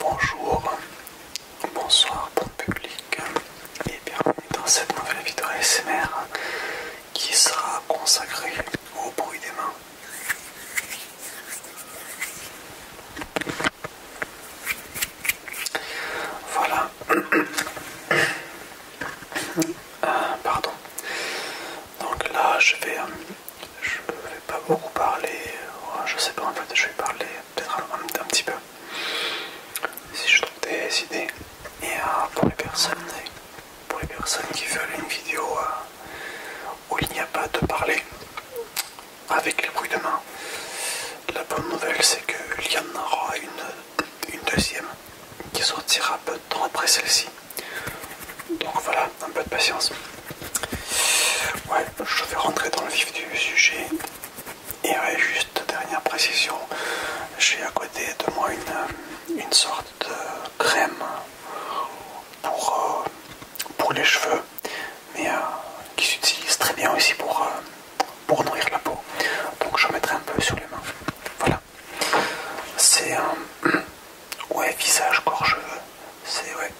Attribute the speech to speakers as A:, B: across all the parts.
A: Bonjour, bonsoir bon public et bienvenue dans cette nouvelle vidéo ASMR qui sera consacrée au bruit des mains. Voilà. Euh, pardon. Donc là, je vais euh, je ne vais pas beaucoup parler, oh, je ne sais pas en fait, je vais parler peut-être un, petit peu si je trouve des idées. Et euh, pour, les personnes, qui veulent une vidéo euh, où il n'y a pas de parler avec les bruits de main, la bonne nouvelle c'est qu'il y en aura une, une deuxième qui sortira peu de temps après celle-ci. Donc voilà, un peu de patience. Ouais, je vais rentrer dans le vif du sujet. Et juste dernière précision, j'ai à côté de moi une, euh, sorte de crème pour, euh, les cheveux, mais euh, qui s'utilise très bien aussi pour, pour nourrir la peau. Donc je mettrai un peu sur les mains. Voilà. C'est un. Ouais, visage gorgeux. C'est ouais.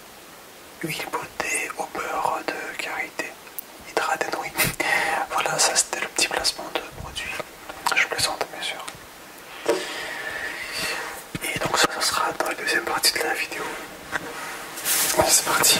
A: Huile beauté au beurre de karité. Hydrate voilà, ça c'était le petit placement de produit. Je plaisante, bien sûr. Et donc, ça, ça sera dans la deuxième partie de la vidéo. C'est parti.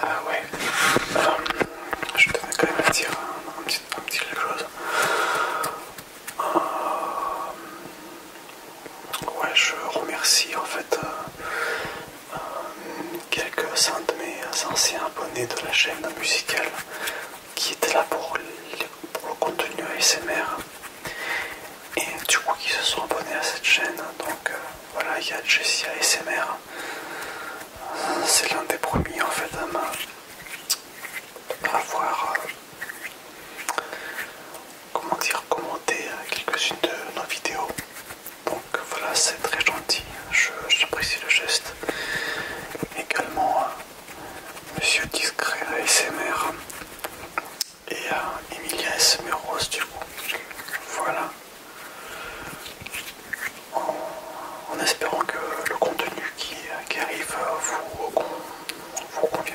A: Ah ouais, euh, je tenais quand même dire un, petit, peu quelque chose. Euh, ouais, je remercie en fait euh, quelques-uns de mes anciens abonnés de la chaîne musicale qui étaient là pour, le contenu ASMR et du coup qui se sont abonnés à cette chaîne donc euh, voilà il y a Jessie ASMR c'est l'un des premiers en fait à avoir euh, comment dire commenté euh, quelques-unes de nos vidéos donc voilà, c'est très gentil, j'apprécie le geste. Également, euh, Monsieur Discret ASMR et à Emilia ASMR Rose, du coup. Voilà. En, espérant que le contenu qui, arrive vous, vous convient.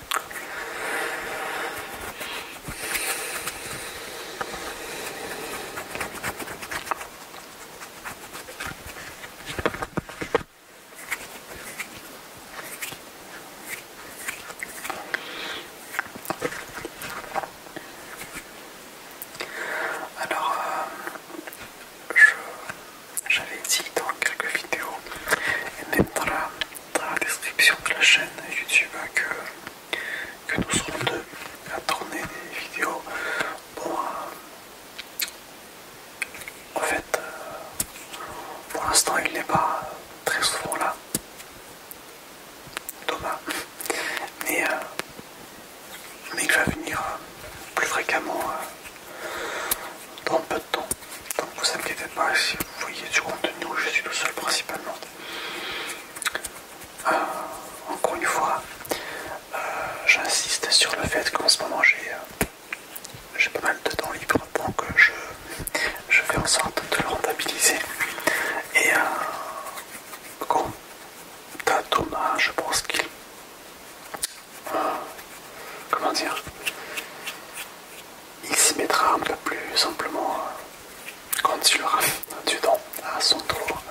A: Alors, euh, j'avais dit dans quelques vidéos et dans la description de la chaîne YouTube hein, que, nous serons deux à tourner des vidéos. Euh, en fait, euh, pour l'instant, il n'est pas très souvent là, Thomas, mais, euh, il va venir plus fréquemment dans peu de temps. Donc Vous inquiétez pas si vous voyez du contenu où je suis tout seul principalement. Euh, encore une fois, euh, j'insiste sur le fait qu'en ce moment j'ai euh, pas mal de temps libre, pour que je fais en sorte de le rentabiliser. Et bon, ta Thomas, je pense qu'il... comment dire il s'y mettra un peu plus simplement euh, quand il aura du à son tour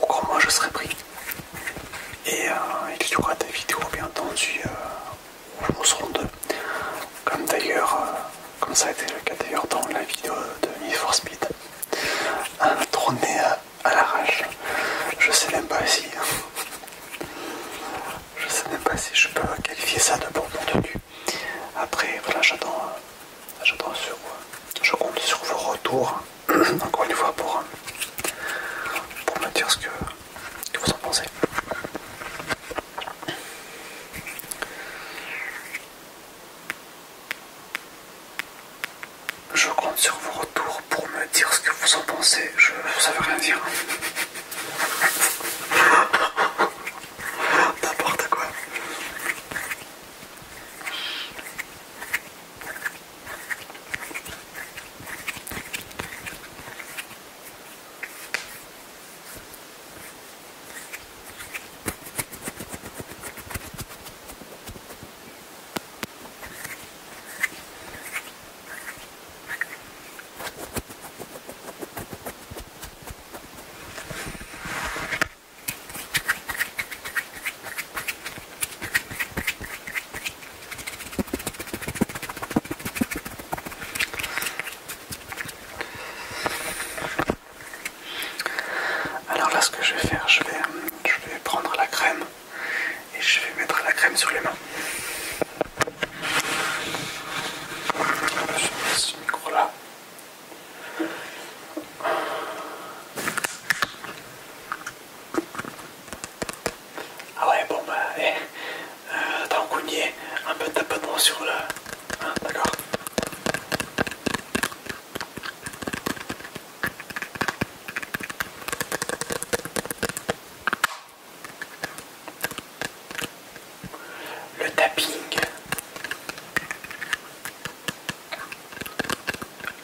A: ou quand moi je serai pris. Et euh, il y aura des vidéos bien entendu euh, où nous serons deux. Comme d'ailleurs, comme ça a été le cas d'ailleurs dans la vidéo de Need Speed. Un à, la l'arrache. Je sais même pas si je sais même pas si je peux qualifier ça de bon contenu. Après, voilà, j'attends euh, sur euh, je compte sur vos retours, encore une fois, pour, euh, pour me dire ce que, vous en pensez. Je compte sur vos retours pour me dire ce que vous en pensez. Je, ne veut rien dire. Hein. N'importe quoi. Alors là ce que je vais faire, je vais, je vais prendre la crème et je vais mettre la crème sur les mains. Ah ouais, bon bah, eh, euh, qu'on y est, un peu sur le... Hein, d'accord le tapping,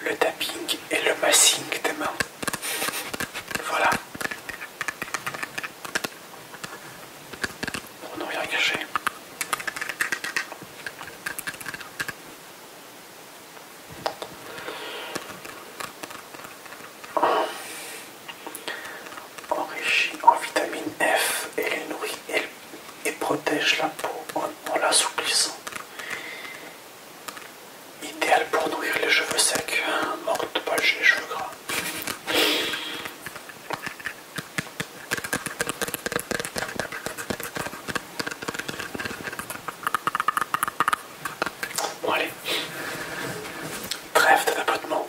A: le tapping et le massing des mains. Voilà. On ne rien cacher. Enrichi en vitamine F et nourrit et, protège la peau en, l'assouplissant. Idéal pour nourrir les cheveux secs, Mort morte de pas les cheveux gras. Bon allez, trêve de tapotement.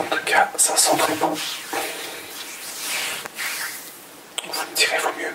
A: En tout cas, ça sent très bon. Vous me direz, vaut mieux.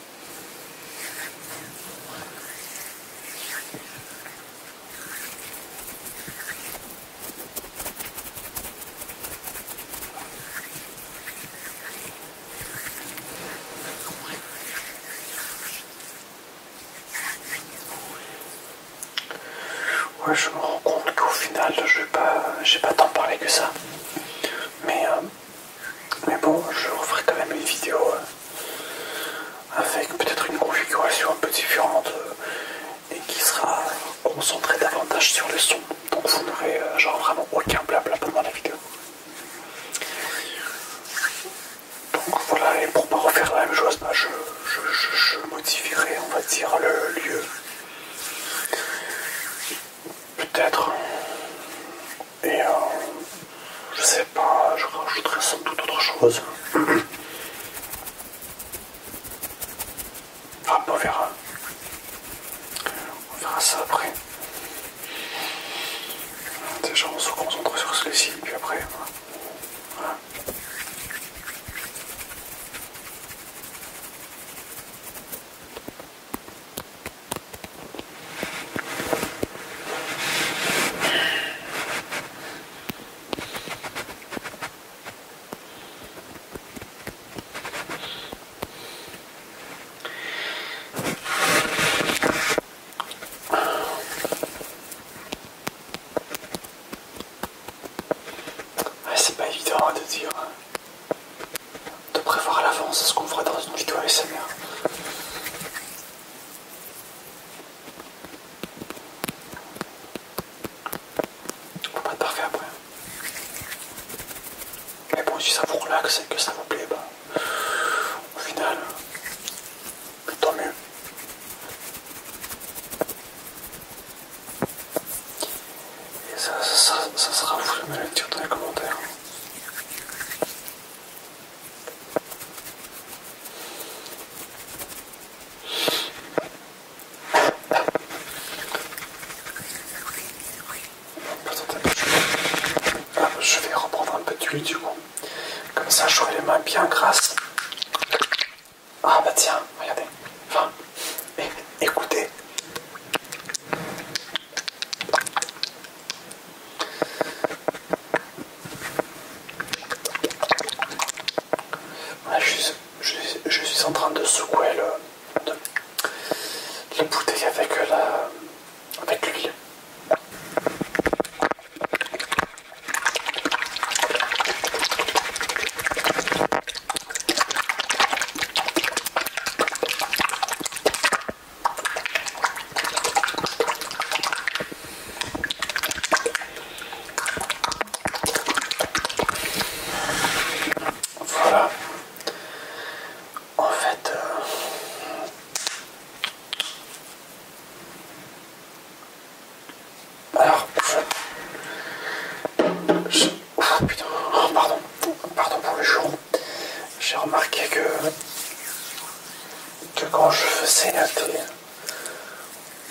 A: Ouais, je me rends compte qu'au final, je vais pas, j'ai pas tant parlé que ça. Mais euh, mais bon, je referai quand même une vidéo euh, avec peut-être une configuration un peu différente euh, et qui sera concentrée davantage sur le son. Donc vous n'aurez euh, genre vraiment aucun blabla pendant la vidéo. Donc voilà, et pour pas refaire la même chose, bah, je modifierai on va dire le lieu. Peut-être et euh, je sais pas, je rajouterai sans doute autre chose. Ah, on verra. On verra ça après. Déjà, on se concentre sur celui-ci, puis après. Hein c'est pas évident de dire hein de prévoir à l'avance ce qu'on fera dans une vidéo ASMR. On faut pas être parfait après. Mais bon, si ça vous relaxe et que ça vous plaît, bah, au final, tant mieux. Et ça, ça, sera vous le dire dans les commentaires. Je vais reprendre un peu de d'huile du coup. Comme ça, je vais les mains bien grasses. Ah bah tiens, regardez. Enfin, écoutez je, suis, en train de secouer le, la bouteille avec la avec l'huile. Voilà. En fait, euh, alors oh, putain, oh, pardon, pardon pour le jour j'ai remarqué que, que, quand je faisais un télé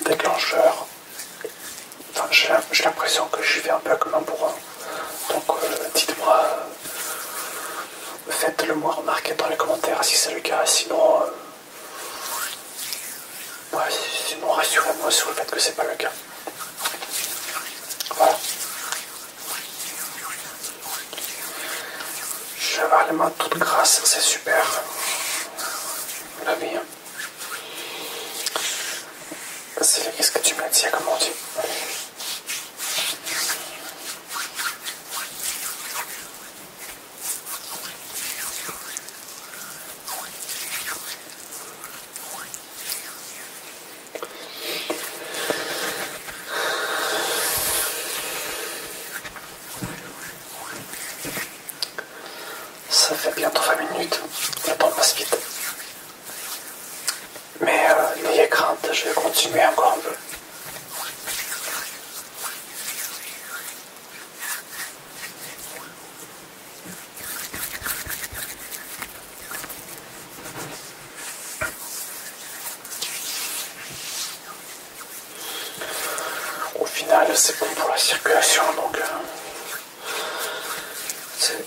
A: déclencheur j'ai l'impression que je vais un peu comme un bourrin. Donc euh, dites-moi, faites-le moi remarquer dans les commentaires si c'est le cas, sinon... Euh, rassurez-moi sur le fait que c'est pas le cas. Voilà. Je vais les mains toutes c'est super. La vie. Hein. C'est qu'est-ce que tu me dit comme on ça fait bientôt 20 minutes, le temps passe vite. Mais euh, n'ayez crainte, je vais continuer encore un peu. Au final, c'est bon pour la circulation, donc euh,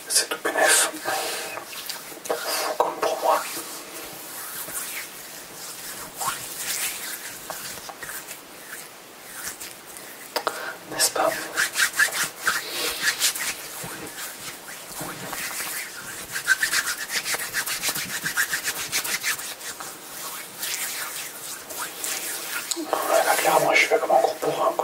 A: c'est tout bénef. comme pour moi. N'est-ce pas ah, là, je fais comme un gros un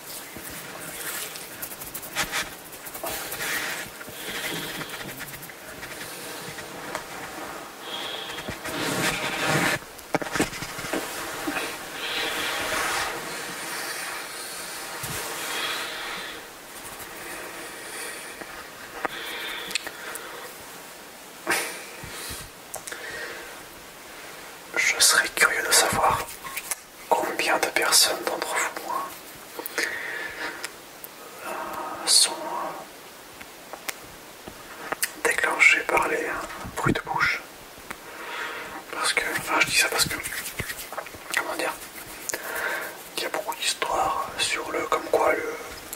A: Je serais curieux de savoir combien de personnes d'entre vous moi, euh, sont euh, déclenchées par les euh, bruits de bouche. Parce que, enfin je dis ça parce que, comment dire, il y a beaucoup d'histoires sur le, comme quoi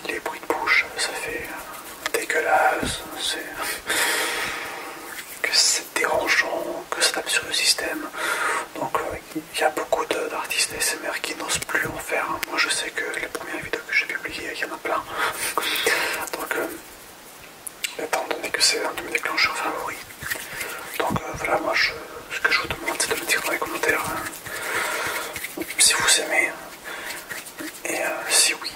A: les bruits de bouche, ça fait dégueulasse, c'est que c'est dérangeant, que ça tape sur le système. Donc euh, il y a beaucoup d'artistes SMR qui n'osent plus en faire. Hein. Moi je sais que les premières vidéos que j'ai publiées, il y en a plein. Donc euh, étant donné que c'est un de mes déclencheurs favoris. Donc euh, voilà, moi ce que je vous demande c'est de me dire dans les commentaires si vous aimez. Et si oui,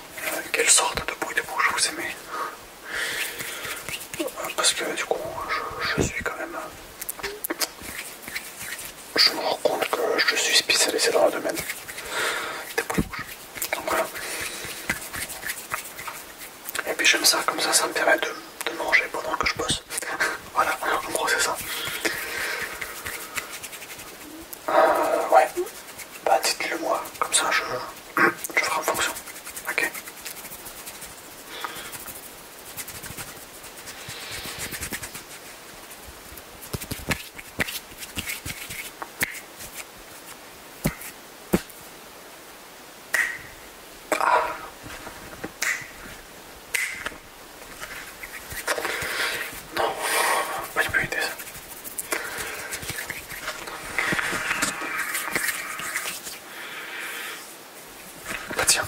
A: quelle sorte de bruit de bouche vous aimez parce que du coup, je, suis quand même. Je me rends compte que je suis spécialisé dans le domaine des boules rouges. Donc voilà. Et puis j'aime ça, comme ça, ça me permet de, manger pendant que je bosse. voilà, en gros, c'est ça. Euh, ouais, bah dites-le moi, comme ça je je ferai en fonction. Ok ah. Non, je peux éviter ça. Bah tiens,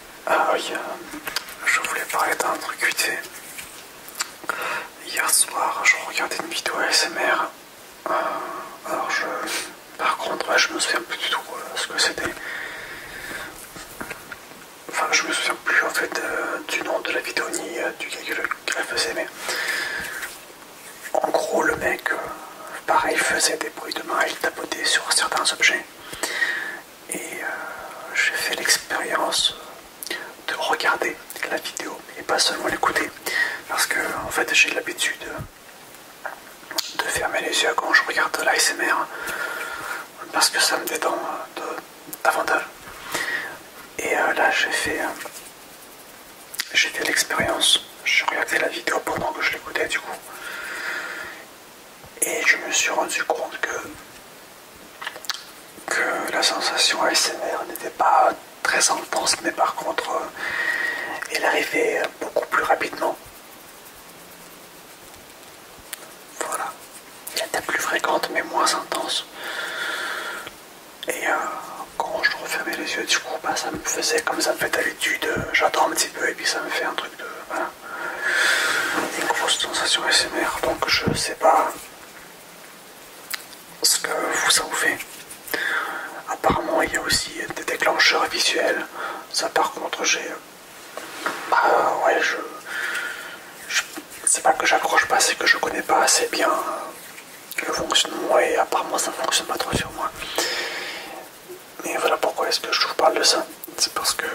A: Ah oui, bah, je voulais parler d'un truc Hier soir, je regardais une vidéo ASMR. Euh, alors je... Par contre, je me souviens plus du tout euh, ce que c'était. Enfin, je me souviens plus en fait euh, du nom de la vidéo ni du gars qu'elle faisait, mais... En gros, le mec, pareil, faisait des bruits de main, il tapotait sur certains objets et euh, j'ai fait l'expérience de regarder la vidéo et pas seulement l'écouter parce que en fait j'ai l'habitude de fermer les yeux quand je regarde l'ASMR parce que ça me détend euh, davantage et euh, là j'ai fait j'ai fait l'expérience je regardé la vidéo pendant que je l'écoutais du coup et je me suis rendu compte que, la sensation ASMR n'était pas très intense, mais par contre, euh, elle arrivait beaucoup plus rapidement. Voilà, elle était plus fréquente, mais moins intense. Et euh, quand je refermais les yeux, du coup, bah, ça me faisait comme ça me fait d'habitude. Euh, j'attends un petit peu et puis ça me fait un truc de. Voilà. Une grosse sensation SMR, donc je sais pas ce que vous ça vous fait. Apparemment, il y a aussi des déclencheurs visuels. Ça, par contre, j'ai. Bah, ouais, je. C'est pas que j'accroche pas, c'est que je connais pas assez bien le fonctionnement et apparemment ça fonctionne pas trop sur moi. Mais voilà pourquoi est-ce que je vous parle de ça c'est parce que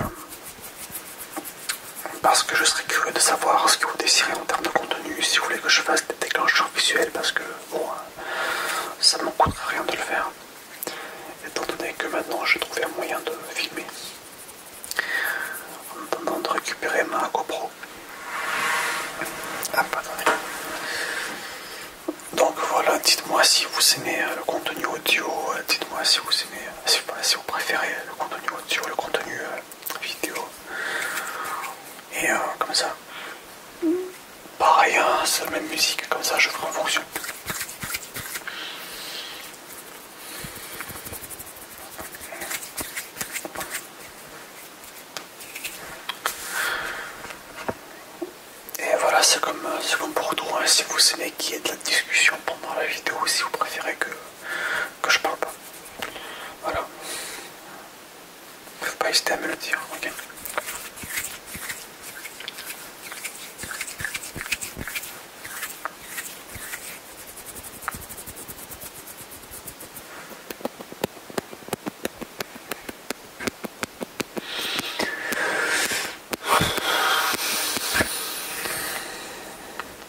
A: parce que je serais curieux de savoir ce que vous désirez en termes de contenu, si vous voulez que je fasse des déclencheurs visuels, parce que bon, euh, ça ne m'en coûtera rien de le faire. Étant donné que maintenant j'ai trouvé un moyen de filmer, en attendant de récupérer ma GoPro. Ah, Donc voilà, dites-moi si vous aimez euh, le contenu audio, euh, dites-moi si vous aimez, si vous préférez le contenu sur le contenu euh, vidéo. Et euh, comme ça, pareil, c'est la même musique, comme ça je ferai en fonction. Et voilà, c'est comme, euh, comme pour tout. Hein. si vous aimez qu'il y ait de la discussion pendant la vidéo, si vous préférez que que je parle pas. Voilà. Faut pas hésiter à me le dire, ok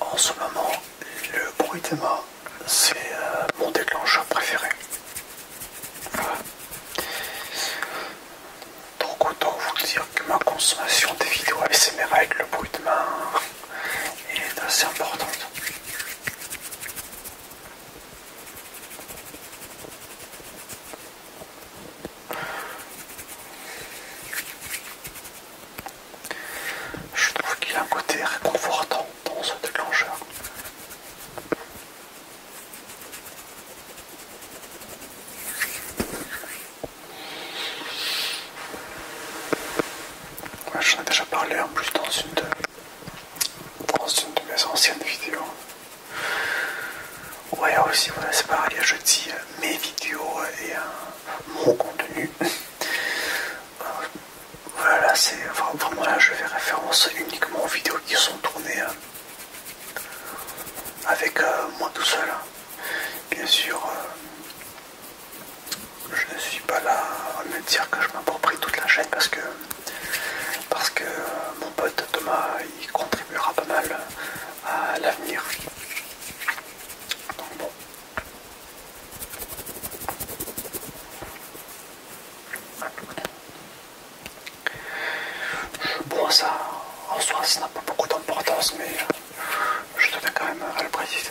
A: En ce moment, le bruit de main, c'est euh, mon déclencheur préféré. Donc autant vous dire que ma consommation des vidéos ASMR avec le bruit de main est assez importante. Je trouve qu'il a un côté réconfortant dans ce déclencheur. J'en ai déjà parlé en plus dans une de mes anciennes vidéos. Ouais, aussi, voilà, c'est pareil, je dis euh, mes vidéos et euh, mon contenu. Euh, voilà, c'est vraiment là, je fais référence uniquement aux vidéos qui sont tournées avec moi tout seul. Hein. Bien sûr, je ne suis pas là à me dire que je m'approprie toute la chaîne parce que, parce que mon pote Thomas il contribuera pas mal à l'avenir. bon. ça, en soi ça n'a pas beaucoup d'importance mais je tenais quand même à le préciser.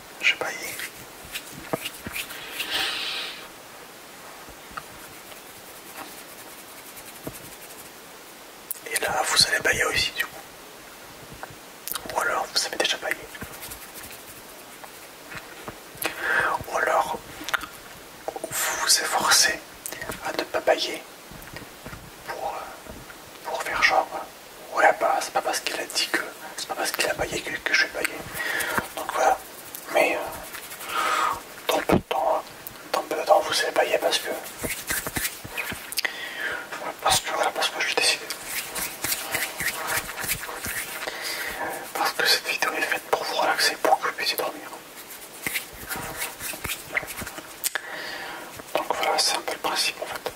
A: Je baillé. Et là, vous allez bailler aussi, du coup. Ou alors, vous avez déjà baillé. Ou alors, vous vous efforcez à ne pas bailler pour euh, faire genre voilà oh pas, bah, c'est pas parce qu'il a dit que, c'est pas parce qu'il a baillé que, je vais bailler. Donc voilà, mais euh, dans peu de temps, hein, dans peu de temps vous allez bailler parce que, parce que voilà, parce que je l'ai décidé. Parce que cette vidéo est faite pour vous relaxer, pour que vous puissiez dormir. Donc voilà, c'est un peu le principe en fait.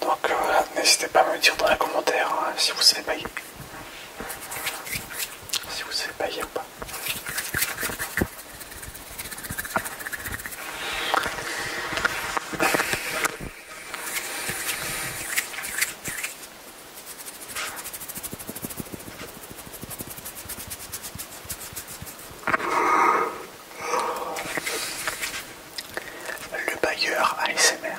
A: Donc euh, n'hésitez pas à me dire dans les commentaires hein, si vous savez payer, Si vous savez ou pas. Le bailleur ASMR.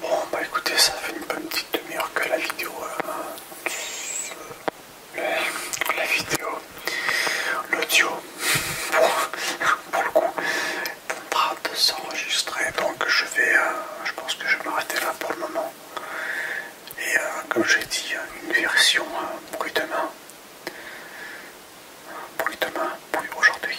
A: Bon bah écoutez ça fait une bonne petite demi-heure que la vidéo euh, la vidéo l'audio pour, le coup train de s'enregistrer donc je vais euh, je pense que je vais m'arrêter là pour le moment et euh, comme j'ai dit une version pour demain bruit demain bruit aujourd'hui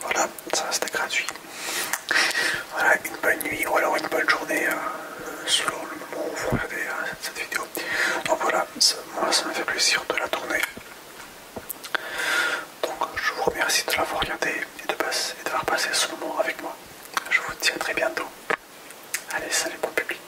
A: Voilà, ça c'était gratuit. Voilà, une bonne nuit ou alors une bonne journée hein, selon le moment où vous regardez hein, cette vidéo. Donc voilà, moi ça m'a fait plaisir de la tourner. Donc je vous remercie de l'avoir regardé et d'avoir passer ce moment avec moi. Je vous dis à très bientôt. Allez, salut bon public.